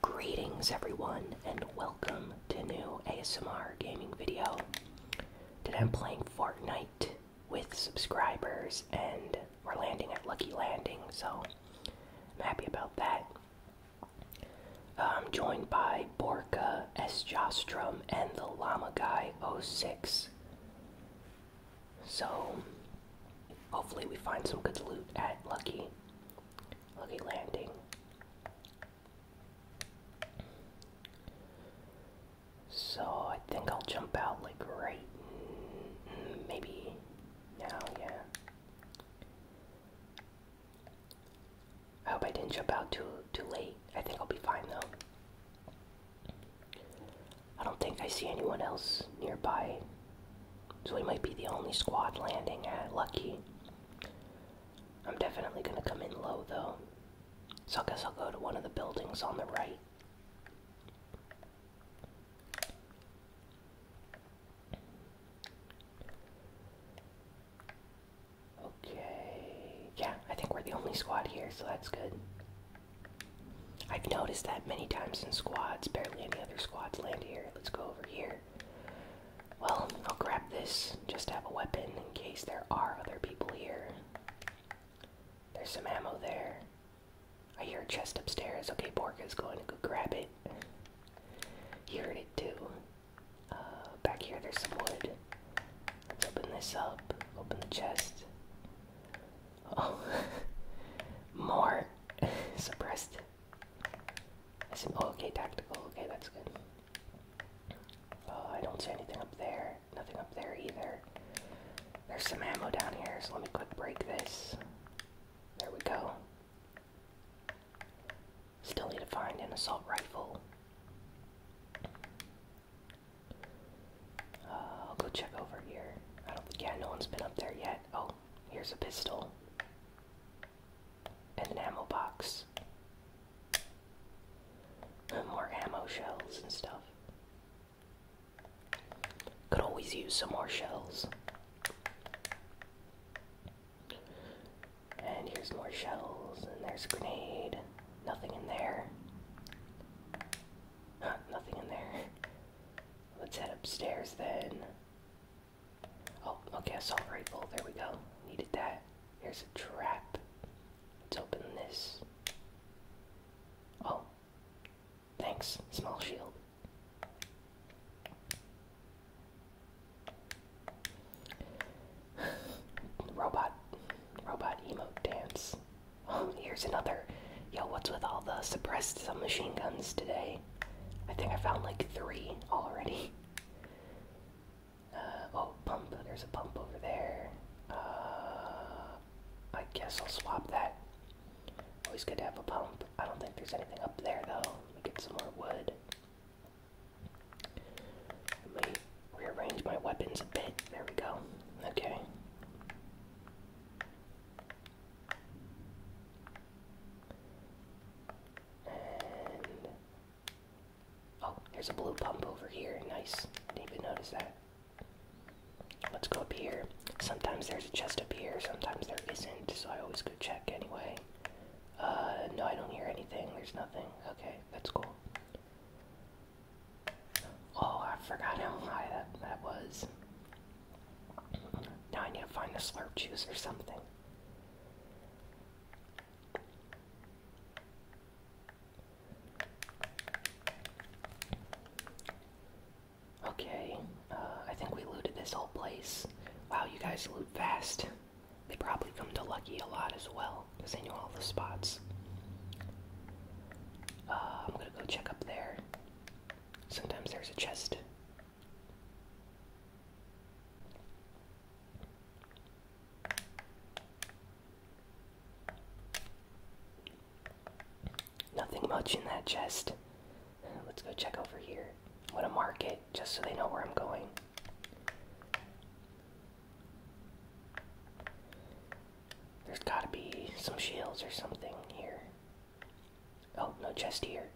Greetings everyone and welcome to a new ASMR gaming video. Today I'm playing Fortnite with subscribers and we're landing at Lucky Landing, so I'm happy about that. I'm joined by Borka, S. and the Llama Guy 06. So hopefully we find some good loot at Lucky. Lucky landing. So I think I'll jump out like right, maybe now, yeah. I hope I didn't jump out too too late. I think I'll be fine though. I don't think I see anyone else nearby. So we might be the only squad landing at Lucky. I'm definitely gonna come in low though. So I guess I'll go to one of the buildings on the right. Okay. Yeah, I think we're the only squad here, so that's good. I've noticed that many times in squads. Barely any other squads land here. Let's go over here. Well, I'll grab this just have a weapon in case there are other people here. There's some ammo there. I hear a chest upstairs. Okay, is going to go grab it. You heard it too. Uh, back here, there's some wood. Let's open this up. Open the chest. Oh, more suppressed I said, oh, okay, tactical. Okay, that's good. Uh, I don't see anything up there. Nothing up there either. There's some ammo down here, so let me quick break this. There we go. Still need to find an assault rifle. Uh, I'll go check over here. I don't think, yeah, no one's been up there yet. Oh, here's a pistol and an ammo box. More ammo shells and stuff. Could always use some more shells. And here's more shells, and there's a grenade. Nothing in there. nothing in there. Let's head upstairs then. Oh, okay, assault rifle. There we go. Needed that. Here's a trap. Let's open this. Oh, thanks. Small shield. robot, robot emote dance. Oh, here's another. Yo, what's with all the suppressed submachine guns today? I think I found like three already. Uh, oh, pump. There's a pump over there. Uh, I guess I'll swap that. Always good to have a pump. I don't think there's anything up there though. Let me get some more wood. Let me rearrange my weapons a bit. There we go. Okay. And oh, there's a blue pump over here. Nice. Didn't even notice that. Let's go up here. Sometimes there's a chest up here, sometimes there isn't, so I always go check anyway. Uh, no, I don't hear anything. There's nothing. Okay, that's cool. Oh, I forgot how high that, that was. Now I need to find the slurp juice or something. Okay, uh, I think we looted this whole place. Wow, you guys loot fast. They probably come to Lucky a lot as well, because they know all the spots. Uh, I'm gonna go check up there. Sometimes there's a chest Nothing much in that chest. Let's go check over here. I'm to mark it just so they know where I'm going. There's gotta be some shields or something here. Oh, no chest here.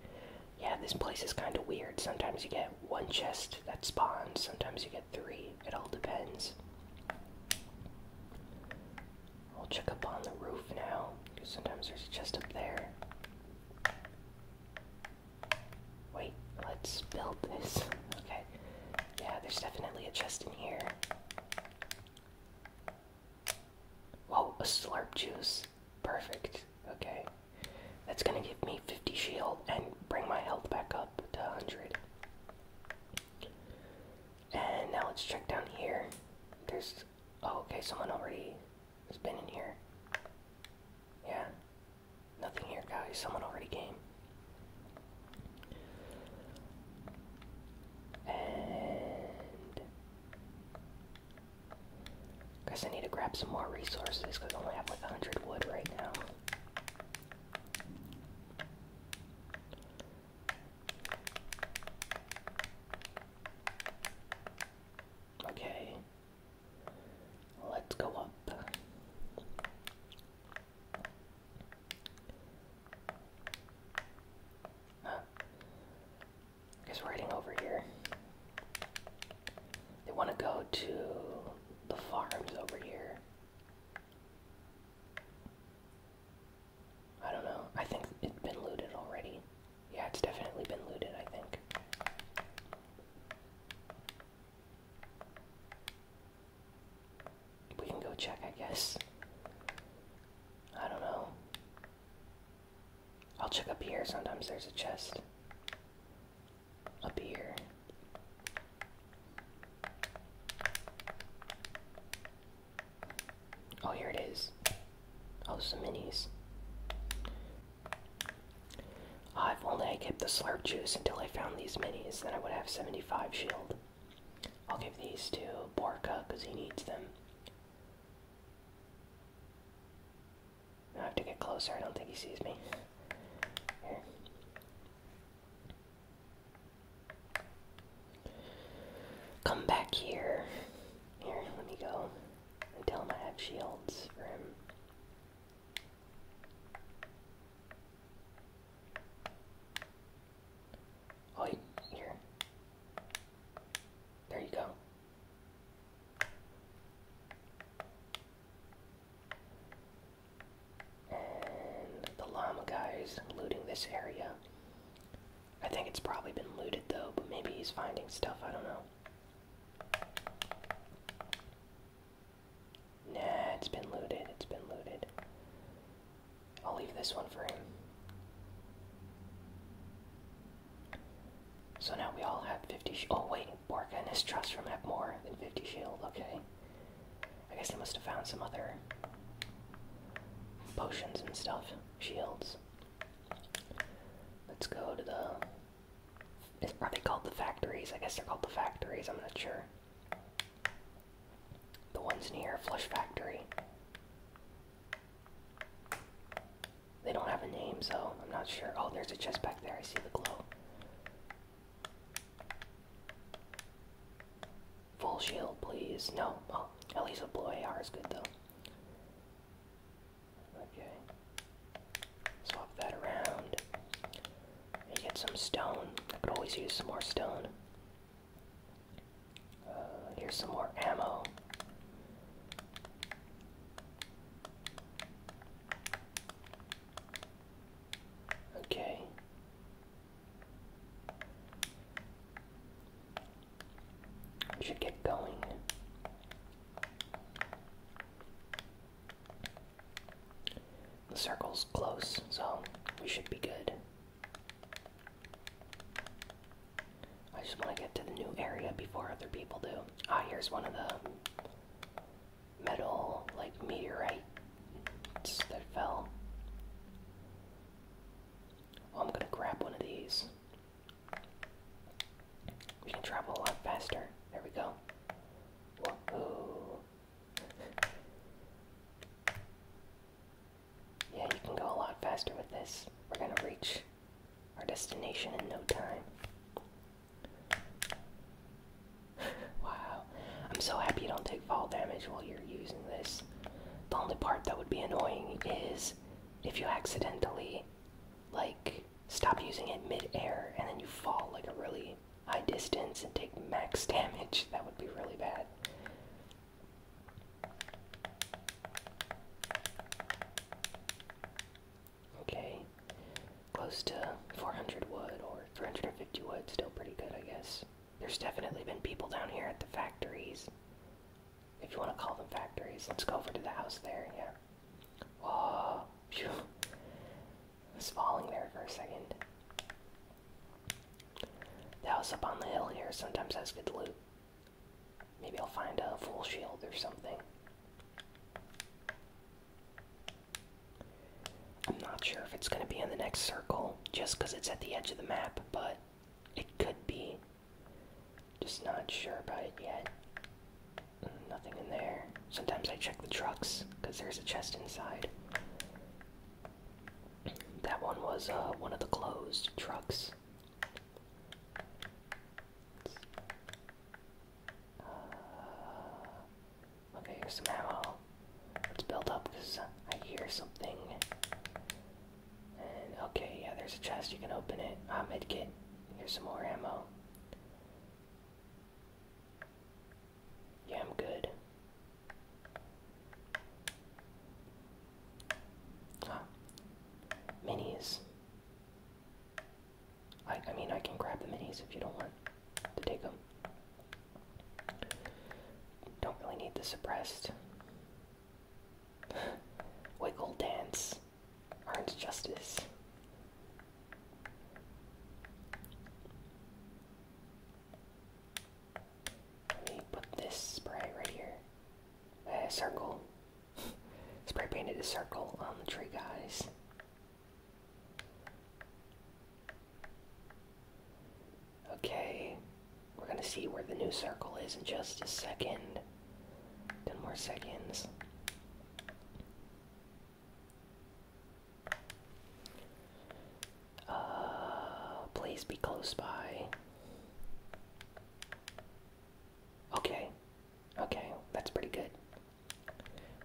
Yeah, this place is kind of weird. Sometimes you get one chest that spawns, sometimes you get three. It all depends. I'll check up on the roof now, because sometimes there's a chest up there. Wait, let's build this. Okay. Yeah, there's definitely a chest in here. Whoa, a slurp juice. Perfect. Okay. That's gonna give me 50 shield and bring my health back up to 100. And now let's check down here. There's. Oh, okay, someone already has been in here. Yeah. Nothing here, guys. Someone already came. And Guess I need to grab some more resources because I only have like 100 wood right now. Okay. Let's go up is riding over here. They want to go to the farms over here. I don't know. I think it's been looted already. Yeah, it's definitely been looted, I think. We can go check, I guess. I don't know. I'll check up here. Sometimes there's a chest. Up here. Oh, here it is. Oh, some minis. Uh, if only I kept the slurp juice until I found these minis, then I would have 75 shield. I'll give these to Borka because he needs them. I have to get closer. I don't think he sees me. Come back here. Here, let me go and tell him I have shields for him. Oh, here. There you go. And the llama guy is looting this area. I think it's probably been looted though, but maybe he's finding stuff, I don't know. Nah, it's been looted, it's been looted. I'll leave this one for him. So now we all have 50 Oh wait, Borka and his trust from have more than 50 shield, okay. I guess they must have found some other potions and stuff. Shields. Let's go to the... Are they called the factories? I guess they're called the factories, I'm not sure. The ones near Flush Factory. They don't have a name, so I'm not sure. Oh, there's a chest back there. I see the glow. Full shield, please. No. Oh, at least a blue AR is good, though. Okay. Swap that around. And get some stone. I could always use some more stone. Uh, here's some more ammo. Okay. should get going. The circle's close, so we should be good. I just want to get to the new area before other people do. Ah, here's one of the metal, like, meteorites that fell. Oh, I'm gonna grab one of these. We can travel a lot faster. There we go. yeah, you can go a lot faster with this. We're gonna reach our destination in no time. wow. I'm so happy you don't take fall damage while you're using this. The only part that would be annoying is if you accidentally, like, stop using it mid-air and then you fall like a really high distance and take max damage. That would be really bad. Okay, close to 400 wood or 350 wood, still pretty good, I guess. There's definitely been people down here at the factories. If you want to call them factories, let's go over to the house there, yeah. Oh, phew. was falling there for a second. The house up on the hill here sometimes has good loot. Maybe I'll find a full shield or something. I'm not sure if it's going to be in the next circle just because it's at the edge of the map, but it could be. Just not sure about it yet. Nothing in there. Sometimes I check the trucks because there's a chest inside. That one was uh, one of the closed trucks okay, here's some ammo. Let's build up because I hear something. okay, yeah, there's a chest. You can open it. Ah, medkit. Here's some more ammo. Yeah, I'm good. Ah, minis. I, I mean, I can grab the minis if you don't want to take them. Don't really need the suppressed. Wiggle dance earns justice. Let me put this spray right here. Uh, circle. Spray painted a circle on the tree, guys. Okay, we're gonna see where the new circle is in just a second. Ten more seconds. Uh, please be close by. Okay, Okay, that's pretty good.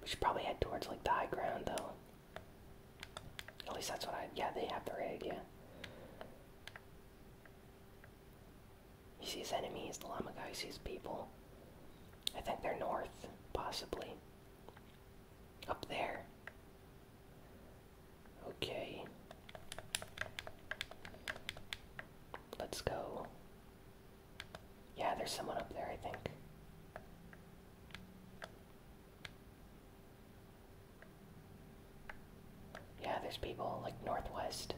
We should probably head towards like the high ground though. At least that's what I. Yeah, they have the rig, yeah. He sees enemies, the llama guy sees people. I think they're north, possibly. Up there. Okay. Let's go yeah, there's someone up there, I think. Yeah, there's people like northwest.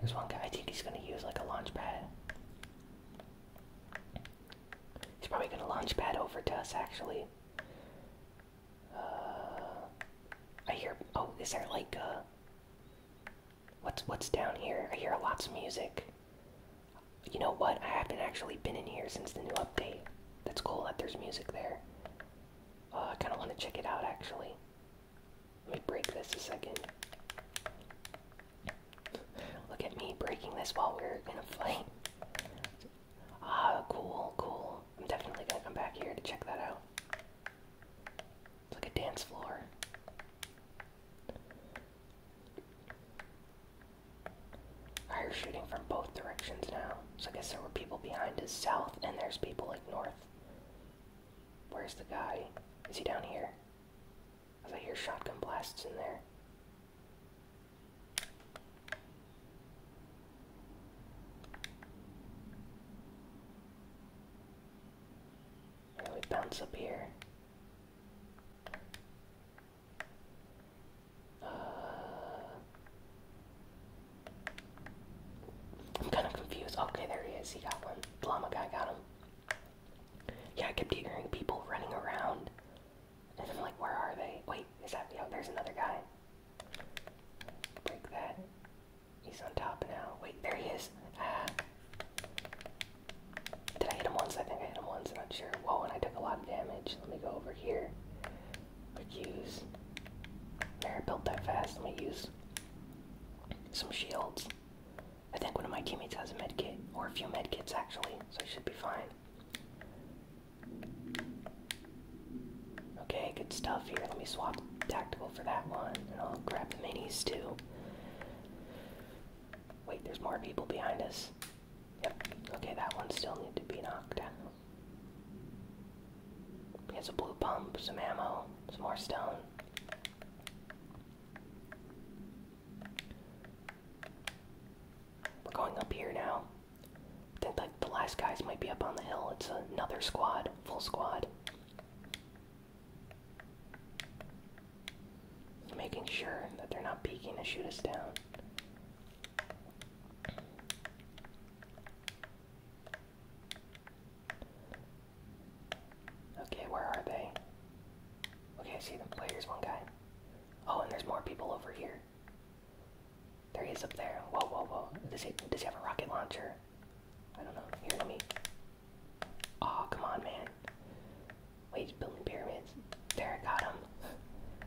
There's one guy, I think he's gonna use like a launch pad. He's probably gonna launch pad over to us, actually. Uh, I hear. Oh, is there like a? Uh, what's what's down here? I hear lots of music. You know what? I haven't actually been in here since the new update. That's cool that there's music there. Uh, I kind of want to check it out actually. Let me break this a second. Look at me breaking this while we're in a fight. Ah, cool, cool. I'm definitely gonna come back here to check that out. It's like a dance floor. I heard shooting from both directions now. So I guess there were people behind us south, and there's people like north. Where's the guy? Is he down here? Cause I hear shotgun blasts in there we bounce up here. Uh, I'm kind of confused. Okay, there he is. He got one. Llama guy got him. Yeah, I kept hearing people running around and I'm like, where are they? Wait, is that, yo, oh, there's another guy. Break that. He's on top now. Wait, there he is. Ah. Did I hit him once? I think I hit him once. I'm not sure. Whoa, and I took a lot of damage. Let me go over here. Quick use. Never built that fast. Let me use some shields. I think one of my teammates has a med kit, or a few med kits actually, so I should be fine. Okay, good stuff here. Let me swap tactical for that one, and I'll grab the minis too. Wait, there's more people behind us. Yep. Okay, that one still needs to be knocked down. He has a blue pump, some ammo, some more stone. We're going up here now. I think the last guys might be up on the hill. It's another squad, full squad. Making sure that they're not peeking to shoot us down. Okay, where are they? Okay, I see the players, one guy. Oh, and there's more people over here. There he is up there. Whoa, whoa, whoa. Does he, does he have a rocket launcher? I don't know. Here, let me. Aw, oh, come on, man. Wait, he's building pyramids. There, I got him.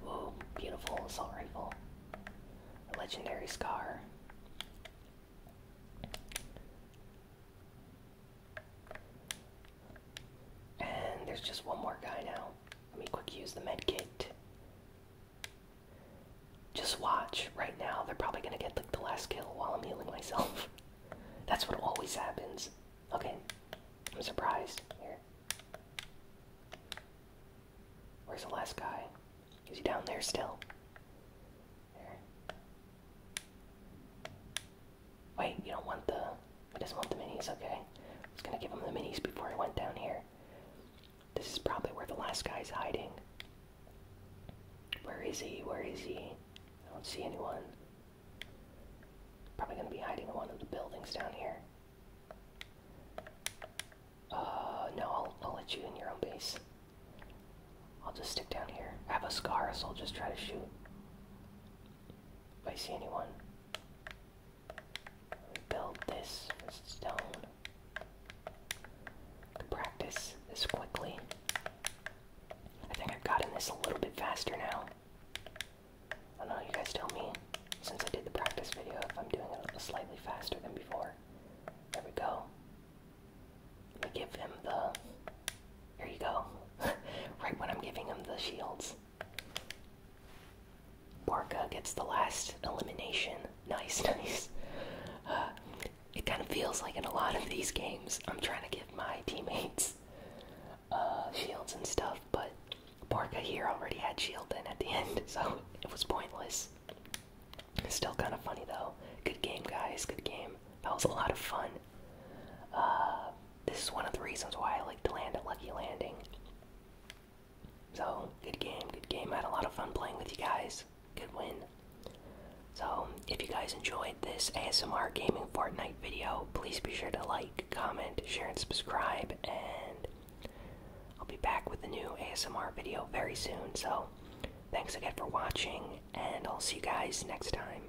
Ooh, beautiful assault rifle. A legendary scar. And there's just one more guy now. Let me quick use the med kit. Just watch. Right now, they're probably gonna get like the last kill while I'm healing myself. That's what always happens. Okay, I'm surprised. Here. Where's the last guy? Is he down there still? There. Wait, you don't want the. I just want the minis, okay. I was gonna give him the minis before I went down here. This is probably where the last guy's hiding. Where is he? Where is he? I don't see anyone. Probably gonna be hiding in one of the buildings down here. Uh, no, I'll, I'll let you in your own base. I'll just stick down here. I have a scar, so I'll just try to shoot. If I see anyone build this stone to practice this quickly. I think I've gotten this a little bit faster now. I don't know, you guys tell me, since I did the practice video, if I'm doing it slightly faster than before. There we go. Let me give him the... Here you go. right when I'm giving him the shields. Barca gets the last elimination. Nice, nice. Uh, it kind of feels like in a lot of these games, I'm trying to give my teammates uh, shields and stuff, but Barca here already had shield then at the end, so it was pointless. It's still kind of funny though. Good game, guys. Good game. That was a lot of fun. Uh, this is one of the reasons why I like to land at Lucky Landing. So, good game, good game. I had a lot of fun playing with you guys. Good win. So, if you guys enjoyed this ASMR Gaming Fortnite video, please be sure to like, comment, share, and subscribe. And I'll be back with a new ASMR video very soon. So, thanks again for watching, and I'll see you guys next time.